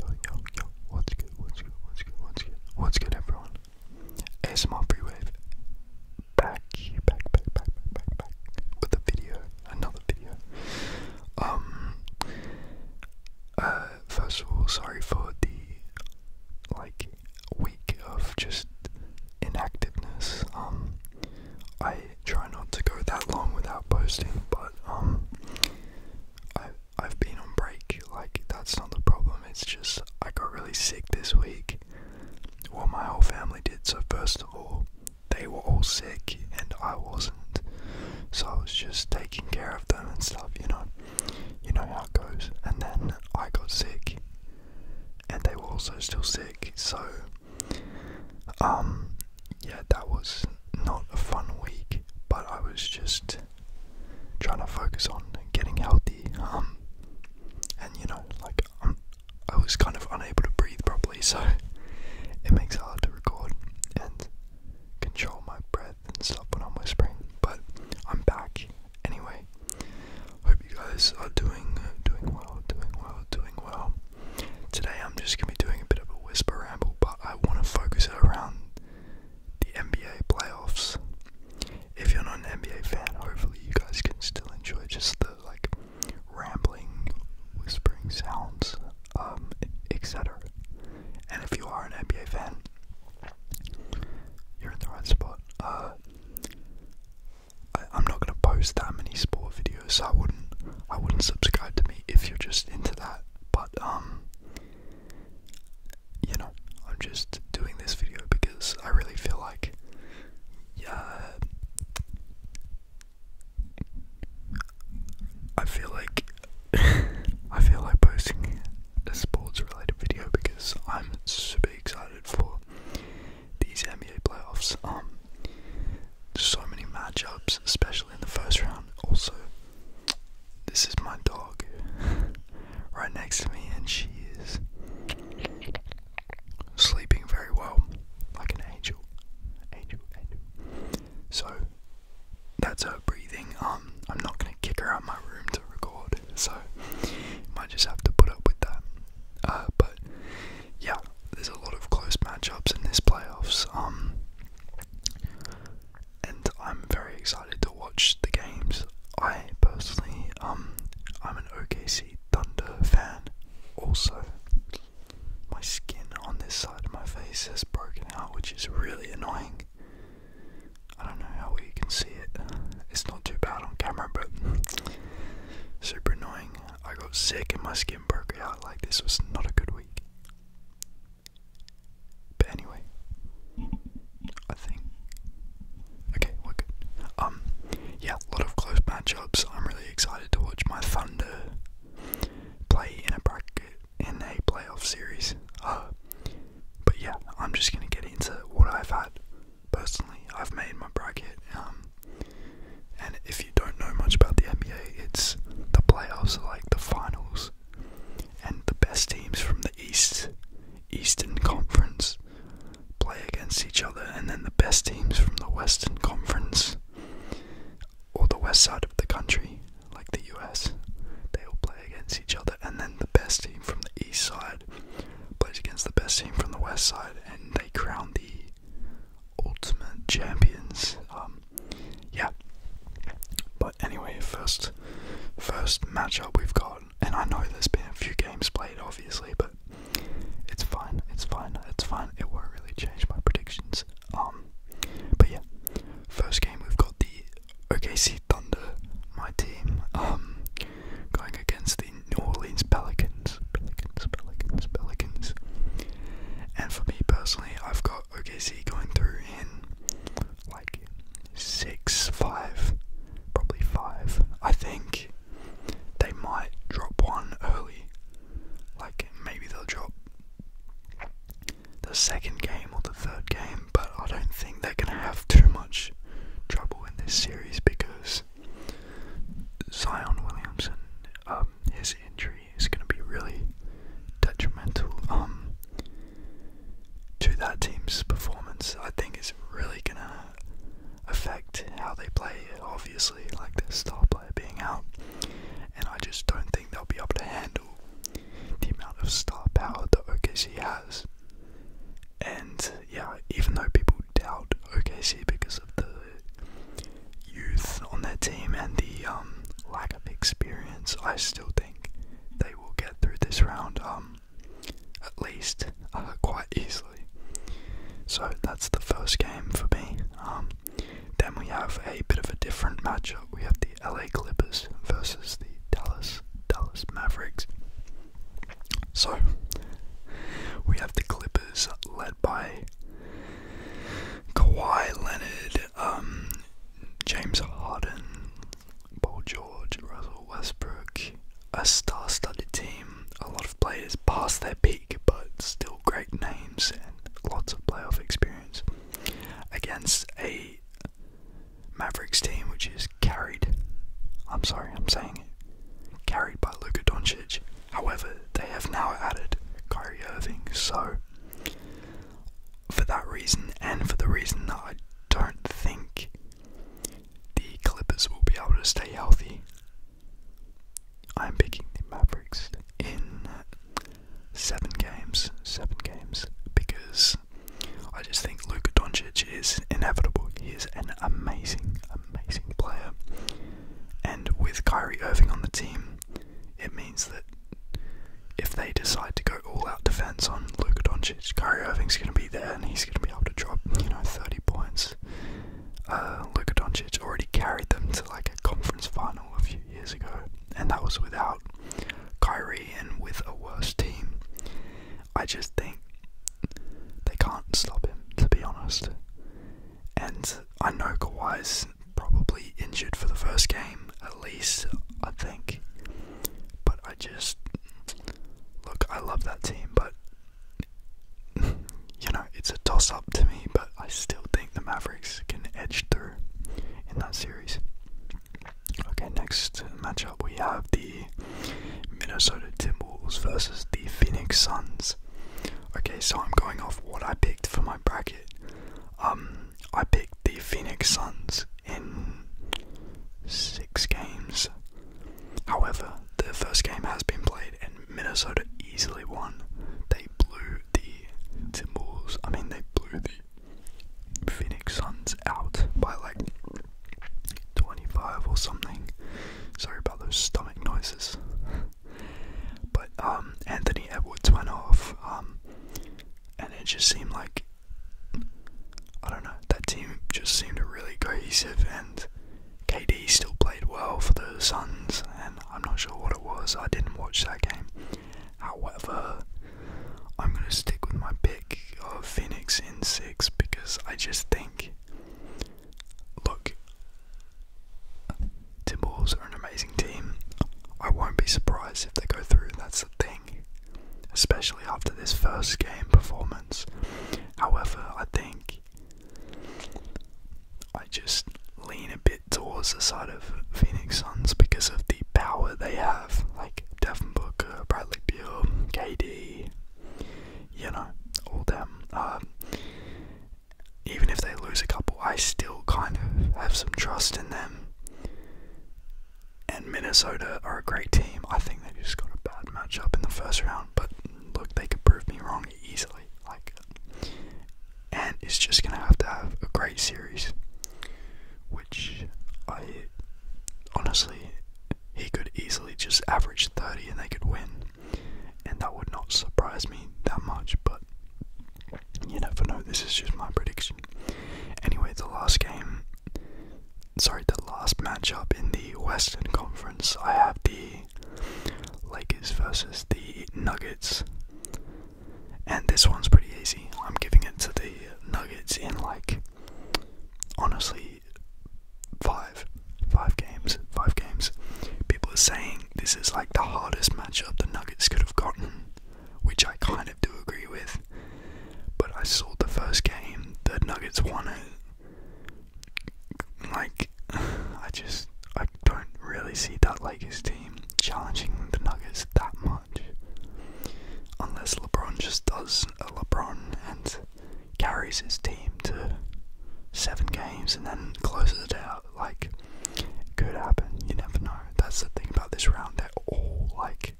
Yo, yo, yo, what's good, what's good, what's good, what's good, what's good everyone? ASMR Freewave, back, back, back, back, back, back, back, with a video, another video. Um, uh, first of all, sorry for the, like, week of just inactiveness. Um, I try not to go that long without posting, but, um, I I've been on break, like, that's not the problem, it's just I got really sick this week. Well, my whole family did, so first of all, they were all sick and I wasn't. So I was just taking care of them and stuff, you know. You know how it goes. And then I got sick and they were also still sick, so um, yeah, that was not a fun week, but I was just trying to focus on getting healthy. Um, and you know, like um, i was kind of unable to breathe properly, so it makes it hard to record and control my breath and stuff when I'm whispering. But I'm back anyway. Hope you guys are doing doing well, doing well, doing well. Today I'm just gonna be doing a bit of a whisper ramble but I want to focus it around the NBA playoffs. If you're not an NBA fan, hopefully you guys can still enjoy just the like rambling, whispering sounds, um, etc. And if you are an NBA fan, you're in the right spot. Uh, I, I'm not gonna post that many sport videos, so I wouldn't, I wouldn't subscribe to me if you're just into that but um you know I'm just doing this video because I really feel like yeah I feel like I feel like posting a sports related video because I'm super excited for these NBA playoffs um so many matchups especially in the first round also this is my dog right next to me, and she is sleeping very well, like an angel. Angel, angel. So that's her breathing. Um, I'm not gonna kick her out of my room to record, so might just have to put up with that. Uh, but yeah, there's a lot of close matchups in this playoffs. Um, and I'm very excited to watch the games. I personally, um, I'm an OKC Thunder fan. Also, my skin on this side of my face has broken out, which is really annoying. I don't know how well you can see it. It's not too bad on camera, but super annoying. I got sick and my skin broke out. Like this was not a good week. But anyway, I think. Okay, we're good. Um, yeah, a lot of close matchups. I'm really excited to watch my Thunder play in a bracket in a playoff series. Uh, but yeah, I'm just gonna get into what I've had personally. I've made my bracket. Um, and if you don't know much about the NBA, it's the playoffs are like the finals. And the best teams from the East, Eastern Conference play against each other, and then the best teams from the Western Conference or the west side of the country, like the US, they will play against each other, and then the best team from the east side plays against the best team from the west side, and they crown the Ultimate Champions. Um, yeah. But anyway, first, first matchup we've got, and I know there's been a few games played, obviously, but it's fine. It's fine. It's fine. It won't really change my predictions. Um, but yeah, first game we've got the OKC Thunder, my team, um, going against the New Orleans Pelicans. Pelicans. Pelicans. Pelicans. And for me personally, I've got got OKC going through in like six, five, probably five. I think they might drop one early. Like maybe they'll drop the second game or the third game, but I don't think they're gonna have too much trouble in this series because Zion Williamson, um, his injury is going to be really detrimental um, to that team's performance. I think it's really going to affect how they play, obviously, like the star player being out. And I just don't think they'll be able to handle the amount of star power that OKC has. And yeah, even though people doubt OKC because of the youth on their team and the um, lack of experience, I still think they will get through this round um, at least uh, quite easily. So that's the first game for me. Um, then we have a bit of a different matchup. We have the LA Clippers versus the Dallas Dallas Mavericks. So we have the Clippers led by Kawhi Leonard, um, James Harden, Paul George, Russell Westbrook. A star studded team, a lot of players past their peak, but still great names and lots of playoff experience against a Mavericks team which is carried. I'm sorry, I'm saying Carried by Luka Doncic, However, they have now added Kyrie Irving, so for that reason and for the reason that I don't think the Clippers will be able to stay healthy, I'm picking the Mavericks in seven games. Seven games because I just think Luka Doncic is inevitable. He is an amazing, amazing player. And with Kyrie Irving on the team, it means that if they decide to go all out defense on Luka Doncic, Kyrie Irving's going to be there and he's going to be able to drop, you know, 30 points. Uh, Luka Doncic already carried them to like a conference final a few years ago, and that was without Kyrie and with a worse team. I just think they can't stop him, to be honest. And I know Kawhi's probably injured for the first game, at least, I think. But I just. Look, I love that team, but. You know, it's a toss up to me, but I still think the Mavericks can edge through in that series. Okay, next matchup we have the Minnesota Timberwolves versus the Phoenix Suns. Okay, so I'm going off what I picked for my bracket. Um, I picked the Phoenix Suns in six games. However, the first game has been played and Minnesota easily won. They blew the Timberwolves, I mean, they blew the Phoenix Suns out by like 25 or something. Sorry about those stomach noises. But um, Anthony Edwards went off, um, and it just seemed like I don't know that team just seemed really cohesive, and KD still played well for the Suns, and I'm not sure what it was. I didn't watch that game. However, I'm gonna stick with my pick of Phoenix in six because I just think Look, Timberwolves are an amazing team. I won't be surprised if they go through, that's the thing. Especially after this first game performance. However, I think I just lean a bit towards the side of Phoenix Suns because of the power they have. Like Devin Booker, Bradley Beal, KD, you know, all them. Um, even if they lose a couple, I still kind of have some trust in them. And Minnesota are a great team. I think they just got a bad matchup in the first round, but look, they could prove me wrong easily. Like, and it's just gonna have to have a great series, which I honestly he could easily just average 30 and they could win and that would not surprise me that much, but you never know. This is just my prediction. Anyway, the last game, sorry, the last matchup in the Western Conference, I have the Lakers versus the Nuggets. And this one's pretty easy. I'm giving it to the Nuggets in like honestly five, five games, five games. People are saying this is like the hardest matchup the Nuggets could have gotten, which I kind of do agree with. But I saw the first game, the Nuggets won it. Like, I just, I don't really see that Lakers team challenging the Nuggets that much. Unless LeBron just does a LeBron and carries his team to seven games and then closes it out. Like, could happen. You never know. That's the thing about this round. They're all like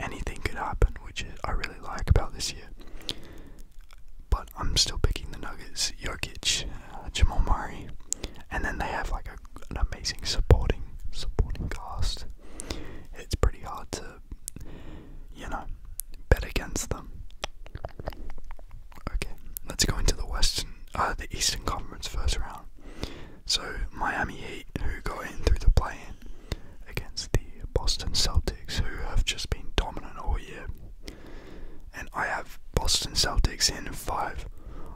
anything could happen, which I really like about this year. But I'm still picking the Nuggets, Jokic, uh, Jamal Murray, and then they have like an amazing supporting supporting cast. It's pretty hard to you know, bet against them. Okay, let's go into the Western, uh, the Eastern Conference first round. So Miami Heat, who got in through the play-in against the Boston Celtics, who have just been dominant all year. And I have Boston Celtics in five.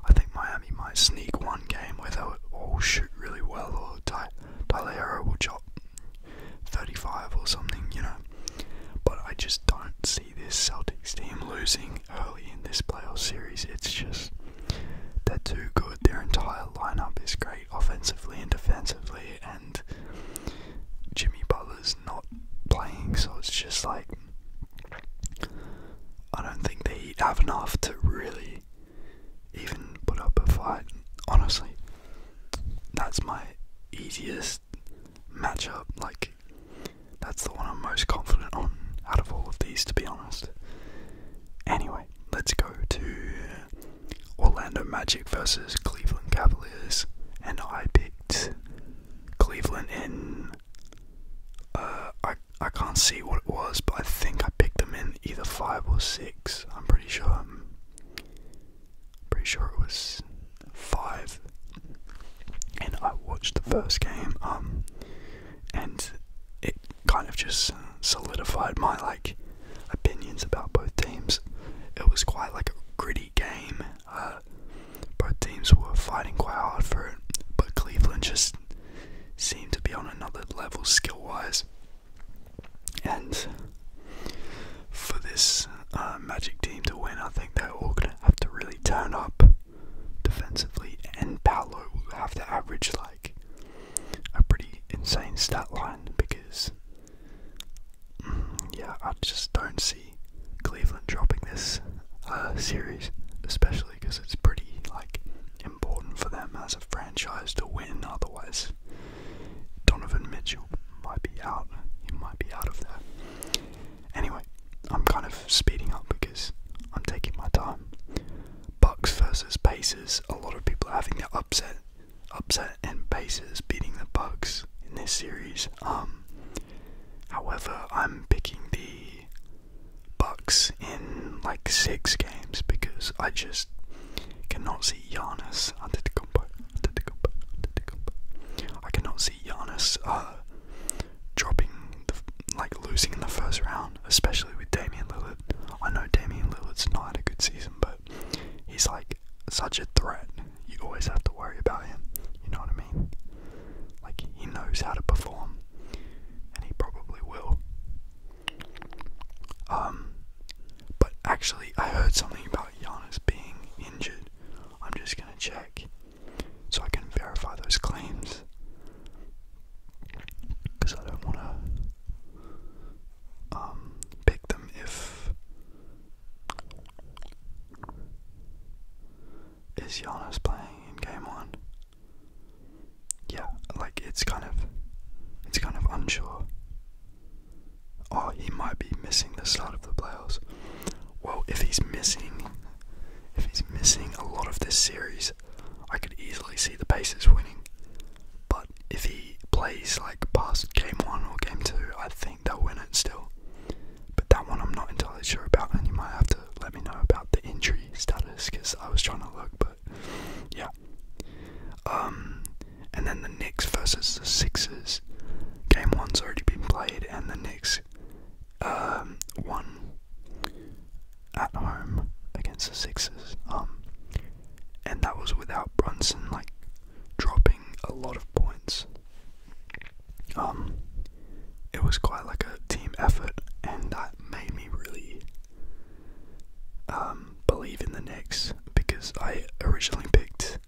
I think Miami might sneak one game where they'll all shoot really well, or Tyler will chop 35 or something, you know. But I just don't see this Celtics team losing early in this playoff series. It's just they're too good. Their entire lineup is great offensively and defensively, and Jimmy Butler's not playing, so it's just like I don't think they have enough to really even put up a fight. Honestly, that's my easiest matchup. Like, that's the one I'm most confident on out of all of these, to be honest. Anyway, let's go to Orlando Magic versus Cleveland Cavaliers, and I picked Cleveland in. Uh, I I can't see what it was, but I think I picked them in either five or six. I'm pretty sure. Pretty sure it was five. And I watched the first game, um, and it kind of just solidified my like opinions about both teams. It was quite like a gritty game. Uh, both teams were fighting quite hard for it, but Cleveland just seemed to be on another level skill wise. And for this uh, Magic team to win, I think they're all going to have to really turn up defensively, and Paolo will have to average like a pretty insane stat line because, mm, yeah, I just don't see Cleveland dropping this uh, series, especially because it's pretty like important for them as a franchise to win. Otherwise, Donovan Mitchell might be out. He might be out of there. Anyway, I'm kind of speeding up because I'm taking my time. Bucks versus Pacers. A lot of people are having their upset, upset, and Pacers beating the Bucks in this series. Um, however, I'm picking the Bucks in like six games because I just Cannot see Giannis Antetokounmpo. Antetokounmpo. Antetokounmpo. I cannot see Giannis uh, dropping, like losing in the first round, especially with Damian Lillard. I know Damian Lillard's not had a good season, but he's like such a threat. You always have to worry about him. You know what I mean? Like he knows how to perform, and he probably will. Um, but actually, I heard something about about Giannis being injured. I'm just going to check so I can verify those claims. Because I don't want to um, pick them if. Is Giannis playing in game one? Yeah, like it's kind of, it's kind of unsure. Oh, he might be missing the start of the playoffs. Well, if he's missing, if he's missing a lot of this series, I could easily see the Pacers winning. But if he plays like past game one or game two, I think they'll win it still. But that one I'm not entirely sure about, and you might have to let me know about the injury status because I was trying to look. But yeah, um, and then the Knicks versus the Sixers. Game one's already been played, and the Knicks um, won at home against the Sixers. Um, and that was without Brunson like dropping a lot of points. Um, it was quite like a team effort, and that made me really. Um, um, believe in the Knicks because I originally picked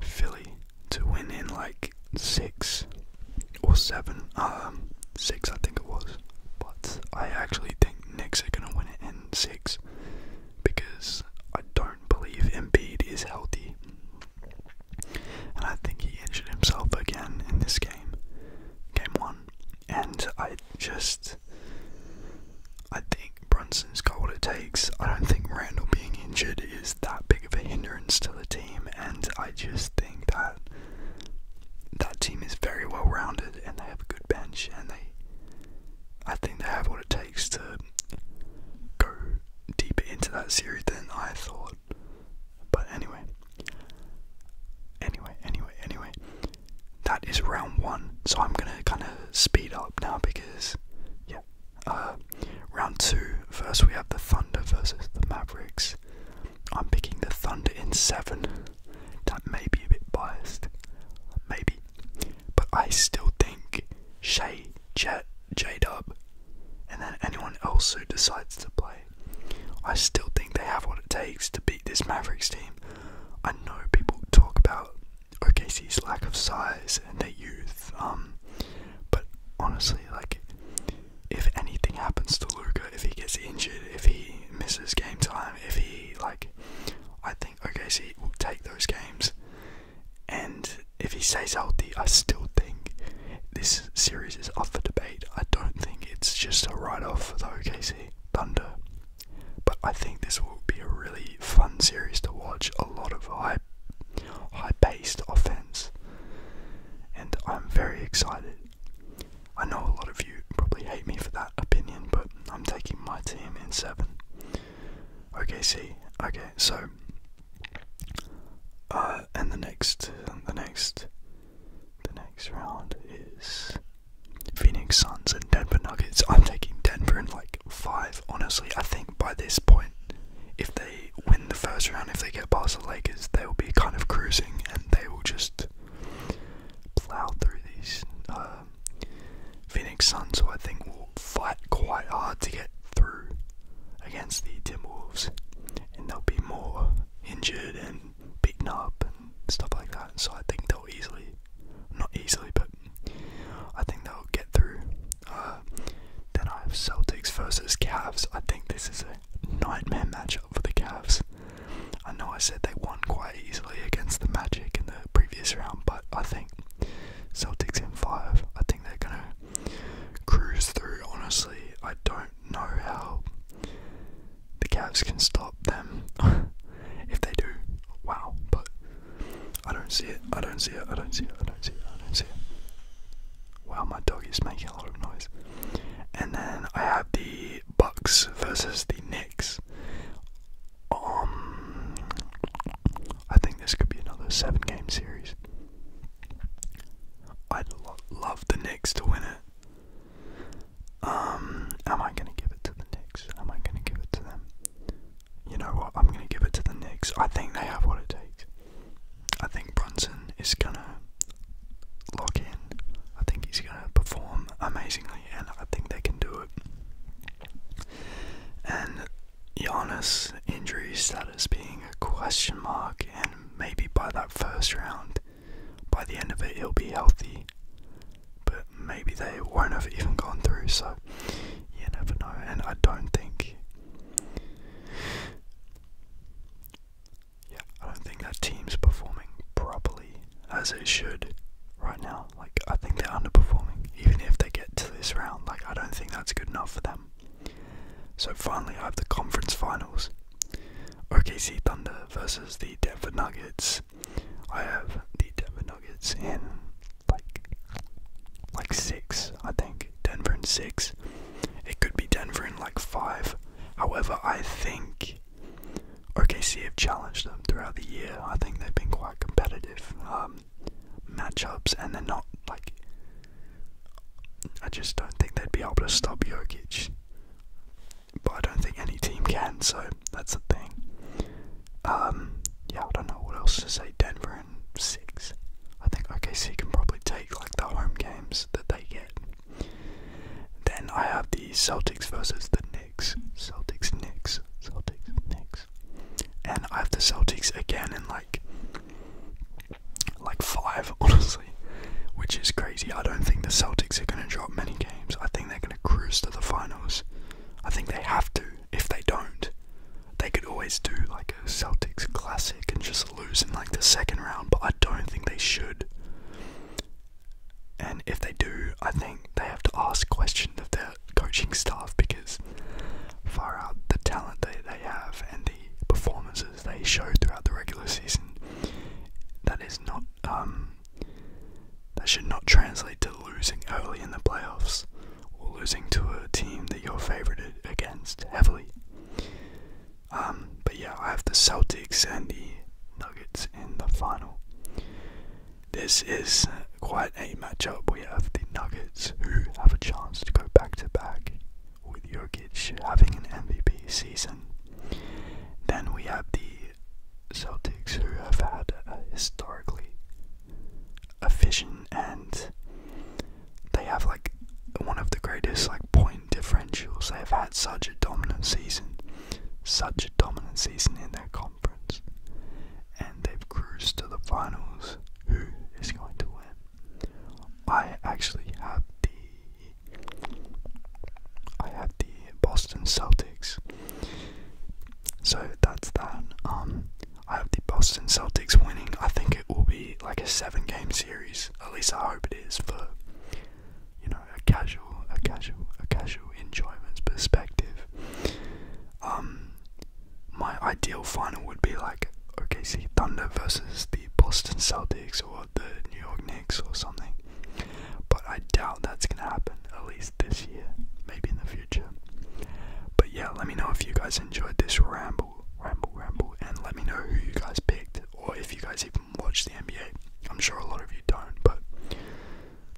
Philly to win in like six or seven, um, six I think it was. But I actually think Knicks are gonna win it in six because I don't believe Embiid is healthy, and I think he injured himself again in this game, game one. And I just I think Brunson's got what it takes. I don't think Randall being injured is that big of a hindrance to the team, and I just think that that team is very well rounded and they have a good bench and they I think they have what it takes to go deeper into that series than I thought. But anyway. Anyway, anyway, anyway that is round one. So I'm gonna kind of speed up now because, yeah. Uh, round two. First we have the Thunder versus the Mavericks. I'm picking the Thunder in seven. That may be a bit biased, maybe, but I still think Shay, Jet, J Dub, and then anyone else who decides to play. I still think they have what it takes to be this Mavericks team. I know people talk about OKC's lack of size and their youth, um, but honestly, like, if anything happens to Luca, if he gets injured, if he misses game time, if he like, I think OKC will take those games, and if he stays healthy, I still think this series is up for debate. I don't think it's just a write-off for the OKC Thunder. But I think this will be a really fun series to watch. A lot of high, high-paced offense, and I'm very excited. I know a lot of you probably hate me for that opinion, but I'm taking my team in seven. Okay, see. Okay, so, uh, and the next, the next, the next round is Phoenix Suns and Denver Nuggets. I'm taking Denver in like five. Honestly, I think by this point, if they win the first round, if they get past the Lakers, they will be kind of cruising and they will just plow through these um, Phoenix Suns, who I think will fight quite hard to get through against the Timberwolves, and they'll be more injured and beaten up stuff like that. So I think they'll easily, not easily, but I think they'll get through. Uh, then I have Celtics versus Cavs. I think this is a nightmare matchup for the Cavs. I know I said they won quite easily against the Magic in the previous round, but I think Celtics in five. I think they're gonna cruise through. Honestly, I don't know how the Cavs can stop them. if they do, wow. But I don't see it. I don't see it. I don't see it. I don't see it. I don't see it. Wow, my dog is making a lot of noise. And then I have the Bucks versus the Knicks. Um, I think this could be another seven-game series. I'd love the Knicks to win it. Um, am I gonna give it to the Knicks? Am I gonna give it to them? You know what? I'm gonna give it to the Knicks. I think they have what it takes. I think Brunson is gonna lock in. I think he's gonna perform amazingly, and I think they can do it. And Giannis' injury status being a question mark, and maybe by that first round, by the end of it he'll be healthy. But maybe they won't have even gone through, so you never know. And I don't think, yeah, I don't think that team's performing properly as it should right now. Like I think they're underperforming, even if they get to this round. Like I don't think that's good enough for them. So finally, I have the conference finals. OKC Thunder versus the Denver Nuggets. I have the Denver Nuggets in like like six, I think. Denver in six. It could be Denver in like five. However, I think OKC have challenged them throughout the year. I think they've been quite competitive um, matchups, and they're not like. I just don't think they'd be able to stop Jokic but I don't think any team can, so that's the thing. Um, yeah, I don't know what else to say. Denver and six. I think OKC can probably take like the home games that they get. Then I have the Celtics versus the Knicks. Celtics, Knicks, Celtics, Knicks, and I have the Celtics again in like like five, honestly, which is crazy. I don't think the Celtics are gonna drop many I think they're going to cruise to the finals. I think they have to. If they don't, they could always do like a Celtics classic and just lose in like the second round, but I don't think they should. And if they do, I think they have to ask questions of their coaching staff because far out the talent that they have and the performances they show throughout the regular season, that is not um, that should not translate to losing early in the playoffs or losing to a team that you're favoured against heavily. Um, but yeah, I have the Celtics and the Nuggets in the final. This is quite a matchup. We have the Nuggets who have a chance to go back to back with Jokic having an MVP season. Then we have the Celtics, who have had historically a vision, and they have like one of the greatest like point differentials. They have had such a dominant season, such a dominant season in their conference, and they've cruised to the finals. Who is going to win? I actually have the I had the Boston Celtics. So that's that. Um, I have the Boston Celtics winning. I think it will be like a seven-game series. At least I hope it is for you know a casual, a casual, a casual enjoyment perspective. Um, my ideal final would be like OKC Thunder versus the Boston Celtics or the New York Knicks or something. But I doubt that's gonna happen, at least this year, maybe in the future. But yeah, let me know if you guys enjoyed this ramble, ramble, ramble, and let me know who you guys picked, or if you guys even watch the NBA. I'm sure a lot of you don't, but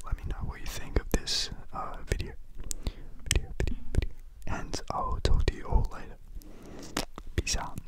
let me know what you think of this uh, video. Video, video, video. And I'll talk to you all later. Peace out.